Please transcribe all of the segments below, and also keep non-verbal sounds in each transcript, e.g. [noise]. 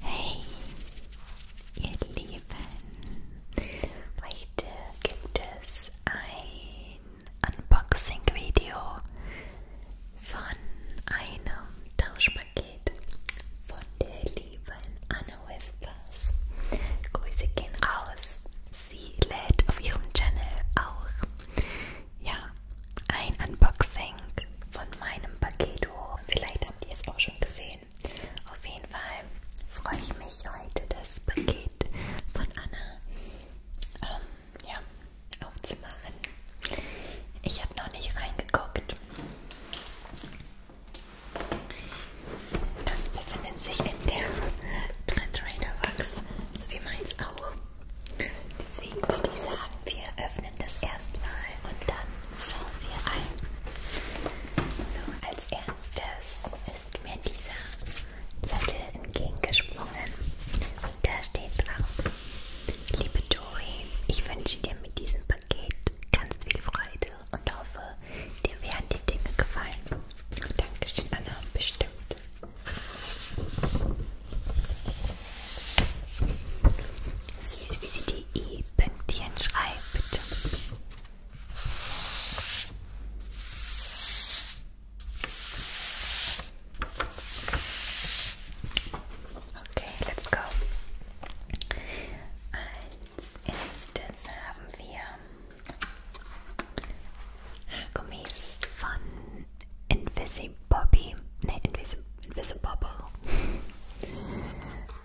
Hey, ihr Lieben, heute gibt es ein Unboxing-Video von einem Tauschpaket von der lieben Anna Whispers. Grüße gehen raus. Sie lädt auf ihrem Channel auch ja, ein Unboxing von meinem Paketo. Oh, vielleicht habt ihr es auch schon gesehen. Auf jeden Fall freue ich mich heute, das Paket von Anna ähm, ja, aufzumachen. Ich habe noch nicht reingeguckt. Das befindet sich in der Trend Trader Box, so wie meins auch. Deswegen würde ich sagen, wir öffnen das erstmal und dann schauen wir ein. So, als erstes ist mir dieser Zettel entgegengesprungen. Und da steht drauf, liebe Dori, ich wünsche dir mit diesem Paket ganz viel Freude und hoffe, dir werden die Dinge gefallen. Dankeschön, Anna, bestimmt. Süß, wie sie die E-Pünktchen schreibt. Bitte. Okay, let's go. Als erstes haben wir Haargummis von Invisi Bobby, ne, Invis Invisibobble.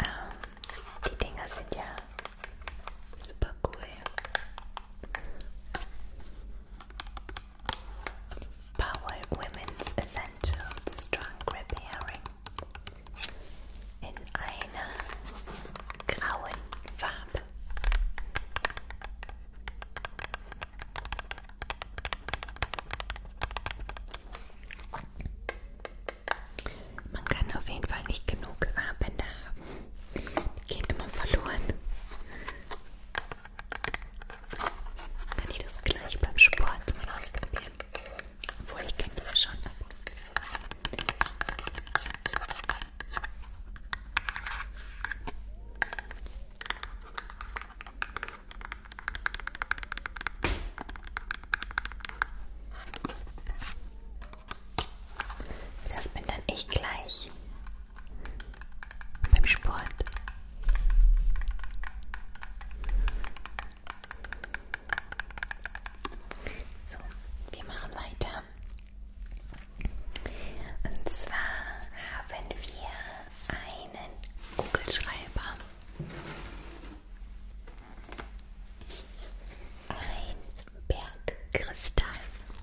Ah, die Dinger sind ja super cool. Power Women's Essential Strong Grip in einer grauen Farbe. Man kann auf jeden Fall nicht genug Abende haben. Die gehen immer verloren. Kann ich das gleich beim Sport mal ausprobieren? Obwohl ich kenne die ja schon. Das bin dann ich gleich beim Sport. So, wir machen weiter. Und zwar haben wir einen Kugelschreiber. Ein Bergkristall,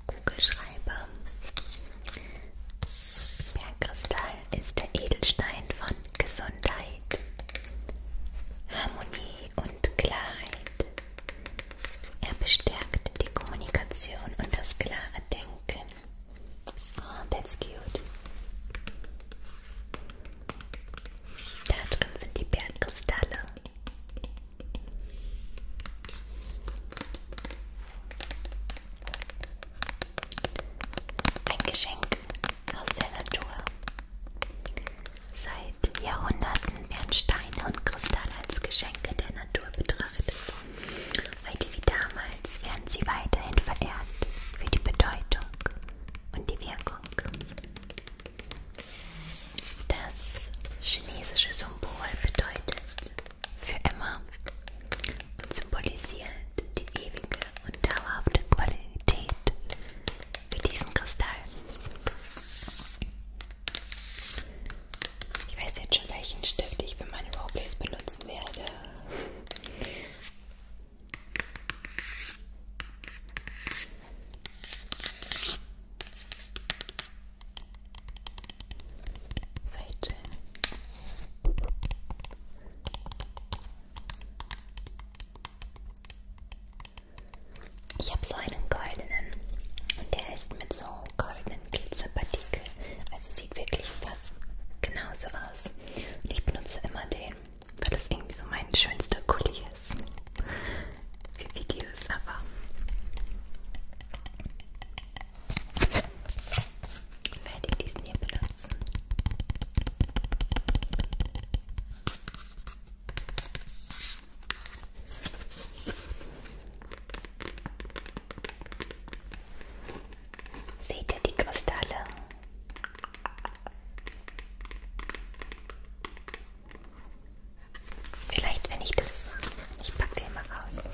Kugelschreiber. Bergkristall ist der Edelstein von Gesundheit, Harmonie und Klarheit. Er bestärkt die Kommunikation und das klare Denken. Oh, that's cute. Da drin sind die Bärenkristalle. Ein Geschenk aus der Natur. Seit Jahrhunderten werden Steine und Kristalle als Geschenke der Natur betrachtet. Heute wie damals Niemals werden sie weiterhin verehrt für die Bedeutung und die Wirkung. Das chinesische Symbol bedeutet für immer und symbolisiert die ewige und dauerhafte Qualität für diesen Kristall. Ich weiß jetzt schon, welchen Stift ich für meine Roleplays benutzen werde. Seite. Ich habe so einen goldenen und der ist mit so goldenen Glitzerpartikeln, also sieht wirklich fast genauso aus. Und ich benutze immer den, weil das irgendwie so mein schönster Kuli ist. Für Videos, aber. Werde ich diesen hier benutzen. Seht ihr die Kristalle? Vielleicht, wenn ich das... Ich packe den mal raus.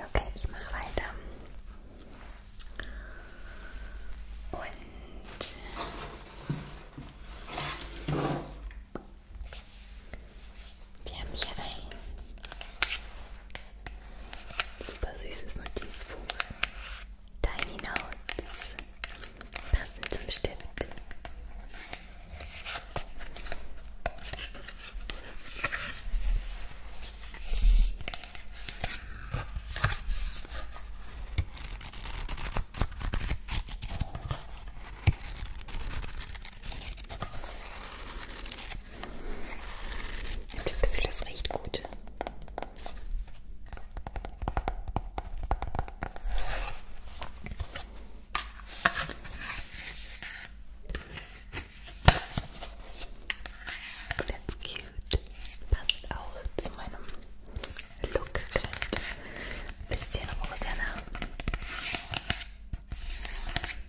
Okay, ich mache weiter. Und wir haben hier ein super süßes Notizbuch. Tiny Notes. Passend zum Stift. Ich habe das Gefühl, das riecht gut. That's cute. Passt auch zu meinem Look gerade. Bisschen rosaner.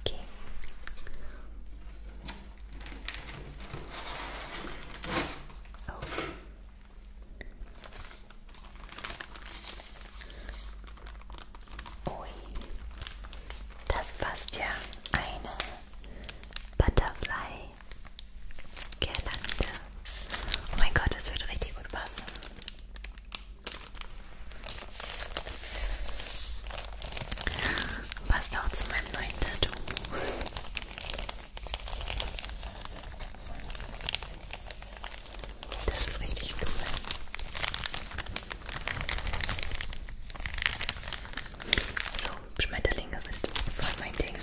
Okay. Oh. Ui. Das passt ja eine Butterfly Girlande. Oh mein Gott, das wird richtig gut passen. Passt auch zu meinem neuen Tattoo. Das ist richtig cool. So, Schmetterlinge sind voll mein Ding.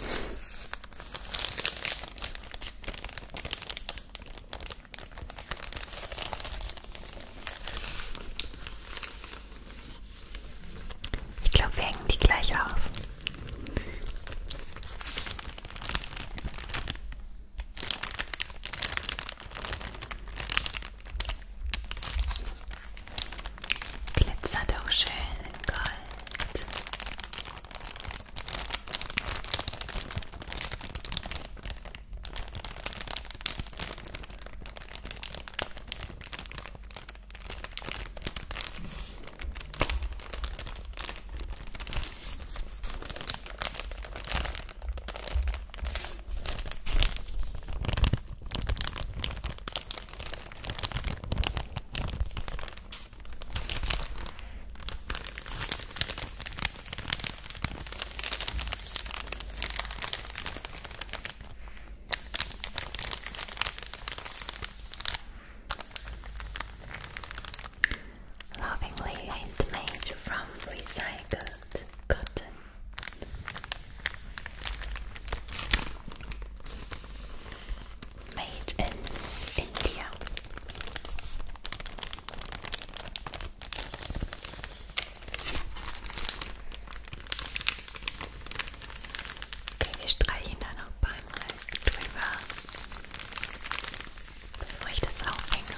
Ich glaube, wir hängen die gleich auf. Glitzert auch schön in Gold. Lovingly handmade from recycled cotton. Made in India. Okay, wir streichen da noch beim Rest drüber, bevor ich das aufhänge.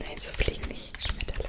Nein, so fliegen nicht Schmetterlinge.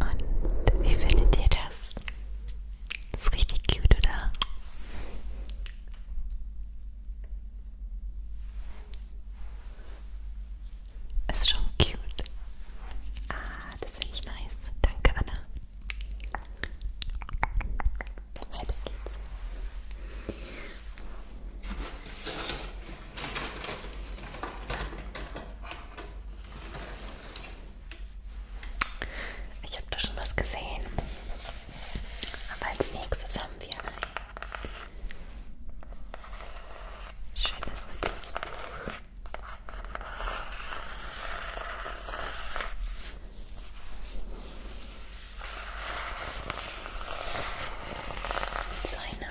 Und wie findet ihr das? das ist richtig cute, oder? Ist schon cute. Ah, das finde ich nice. Danke, Anna. Weiter geht's. Ich habe da schon was gesehen. Aber als nächstes haben wir ein schönes Notizbuch. Seine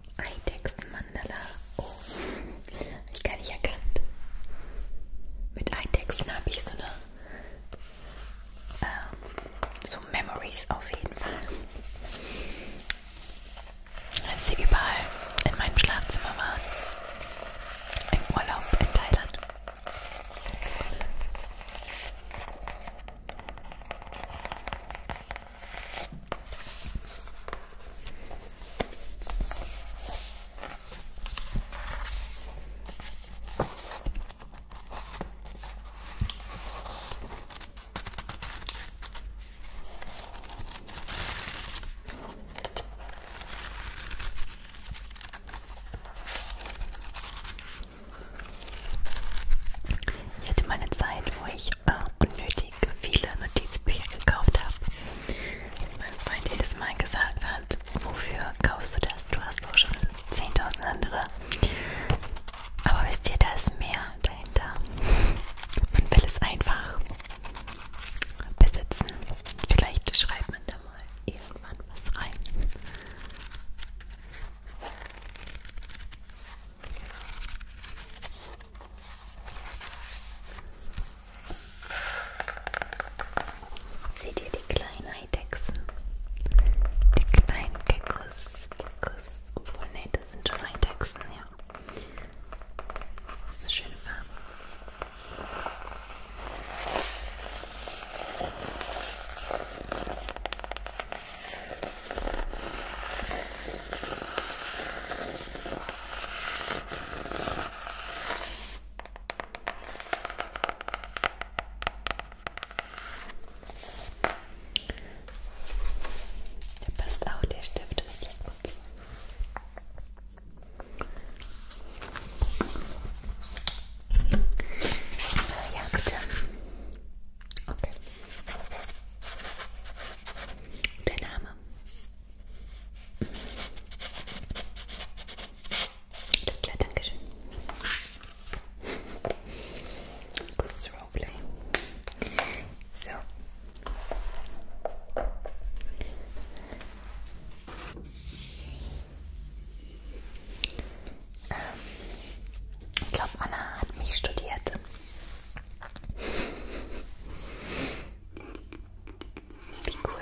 Eidex Mandala. Oh, habe ich gar nicht erkannt. Mit Eidechsen habe ich so eine. Ähm, so Memories auf jeden Fall. Als sie überall in meinem Schlafzimmer waren. Im Urlaub in Thailand. Ich hatte mal eine Zeit, wo ich äh, unnötig richtig viele Notizbücher gekauft habe. Mein Freund jedes Mal gesagt hat, wofür kaufst du das? Du hast doch schon 10.000 andere. Aber wisst ihr, da ist mehr dahinter. Man will es einfach besitzen. Vielleicht schreibt man da mal irgendwann was rein. Seht ihr die kleinen Eidechsen? Die kleinen Geckos. Geckos. Obwohl, ne, das sind schon Eidechsen, ja. Das ist eine schöne Farbe. Da passt auch der Stift richtig gut zu. Ja, bitte. Okay. Der Name? Alles klar, danke schön. Gutes Roleplay. So. Ähm, ich glaube, Anna hat mich studiert. Wie cool.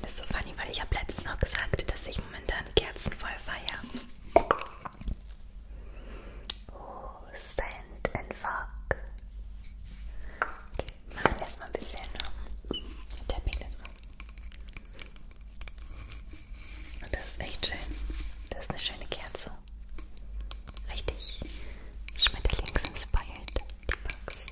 Das ist so funny, weil ich habe letztens noch gesagt, dass ich momentan Kerzen voll feiere. Oh, Sand and Fog. Okay, machen wir erstmal ein bisschen Tapping ne? dazu. Und das ist echt schön. Das ist eine schöne Kerze. Richtig. Schmetterlings-inspired, die Box.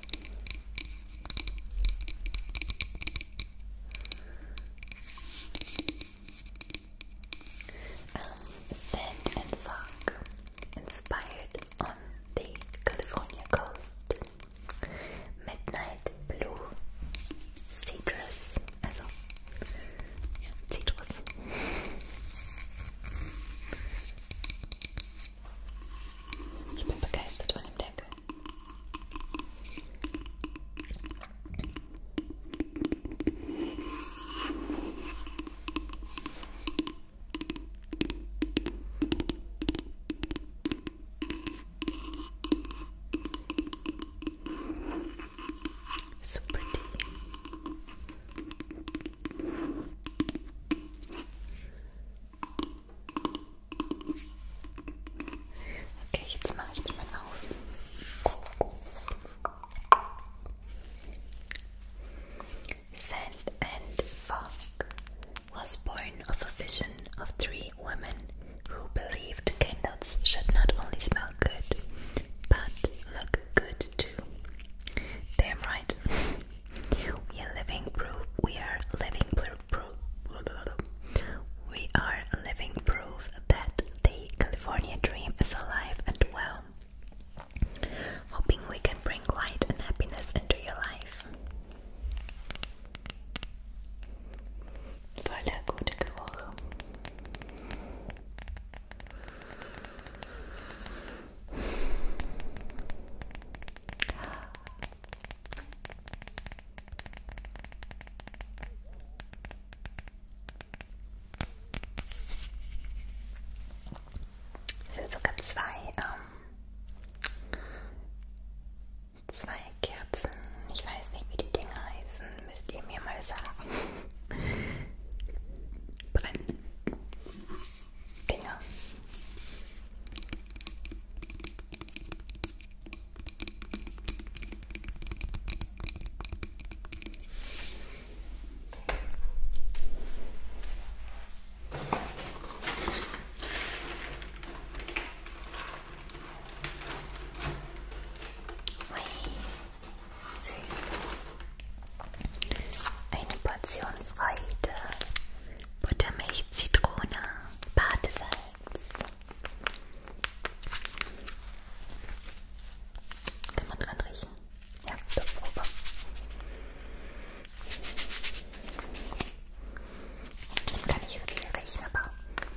Um, ähm, sand and fog, inspired on the California coast. Midnight blue citrus, also ja, Zitrus. Ich bin begeistert von dem Deckel. So pretty. Sand and Fog was born of a vision of three women who believed candles should not only smell smell good, but look good too. Damn right. [laughs] we are living proof. We are living proof. We are living proof that the California dream is alive and well. Hoping we can bring light and happiness into your life. Voller guter Geruch. Es sind sogar zwei, ähm, zwei Kerzen. Ich weiß nicht, wie die Dinge heißen müsst ihr mir mal sagen. Brennen. Dinger. Ui. Süß. Eine Portion Freude. Buttermilch, Zitrone, Badesalz. Kann man dran riechen? Ja, der Probe. Den kann ich wirklich riechen, aber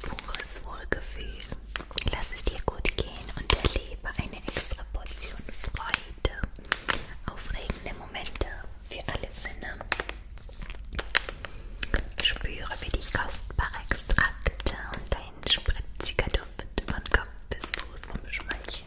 pures Wohlgefühl. Lass es dir gut gehen und erlebe eine extra Portion Freude. Aufregende Momente für alle Sinne. Spüre, wie die kostbaren Extrakte und dein spritziger Duft von Kopf bis Fuß umschmeicheln.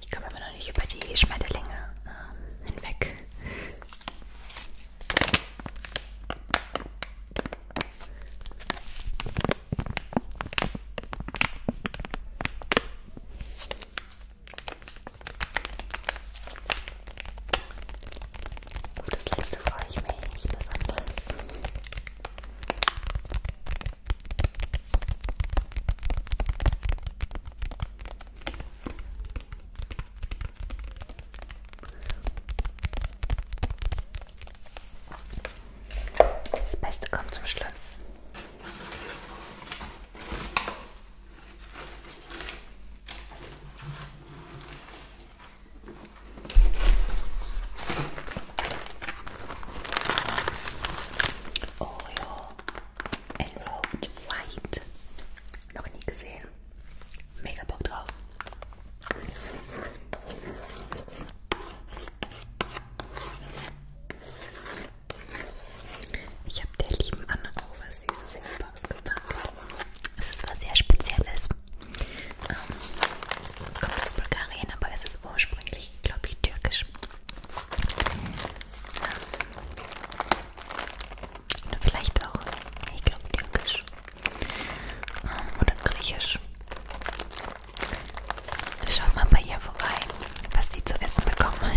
Ich komme immer noch nicht über die Schmetterlinge ähm, hinweg. Auf das letzte freue ich mich besonders. Das Beste kommt zum Schluss. Oreo Enrolled White. Noch nie gesehen. Mega Bock drauf. Ich habe der lieben Anna Overs süßes in die Box gepackt. Es ist was sehr Spezielles. Ähm, es kommt aus Bulgarien, aber es ist ursprünglich, glaube ich, türkisch. Ähm, oder vielleicht auch, ich glaube, türkisch. Ähm, oder griechisch. Schaut mal bei ihr vorbei, was sie zu essen bekommen hat.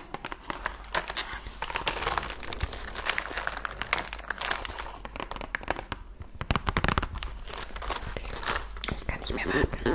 Ich kann nicht mehr warten. Yummy.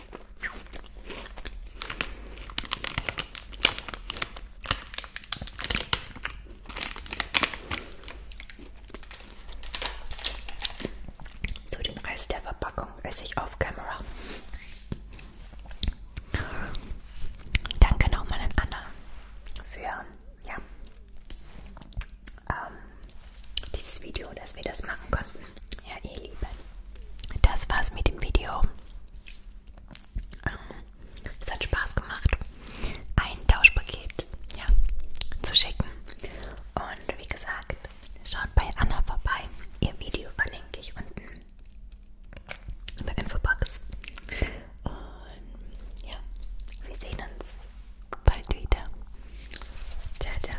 So, den Rest der Verpackung esse ich auf Kamera. Danke nochmal an Anna für ja, ähm, dieses Video, dass wir das machen konnten. Ja, ihr Lieben, das war's mit dem Video. Ähm, es hat Spaß gemacht, ein Tauschpaket ja, zu schicken. Und wie gesagt, schaut bei Anna vorbei. Ihr Video verlinke ich unten in der Infobox. Und ja, wir sehen uns bald wieder. Ciao, ciao.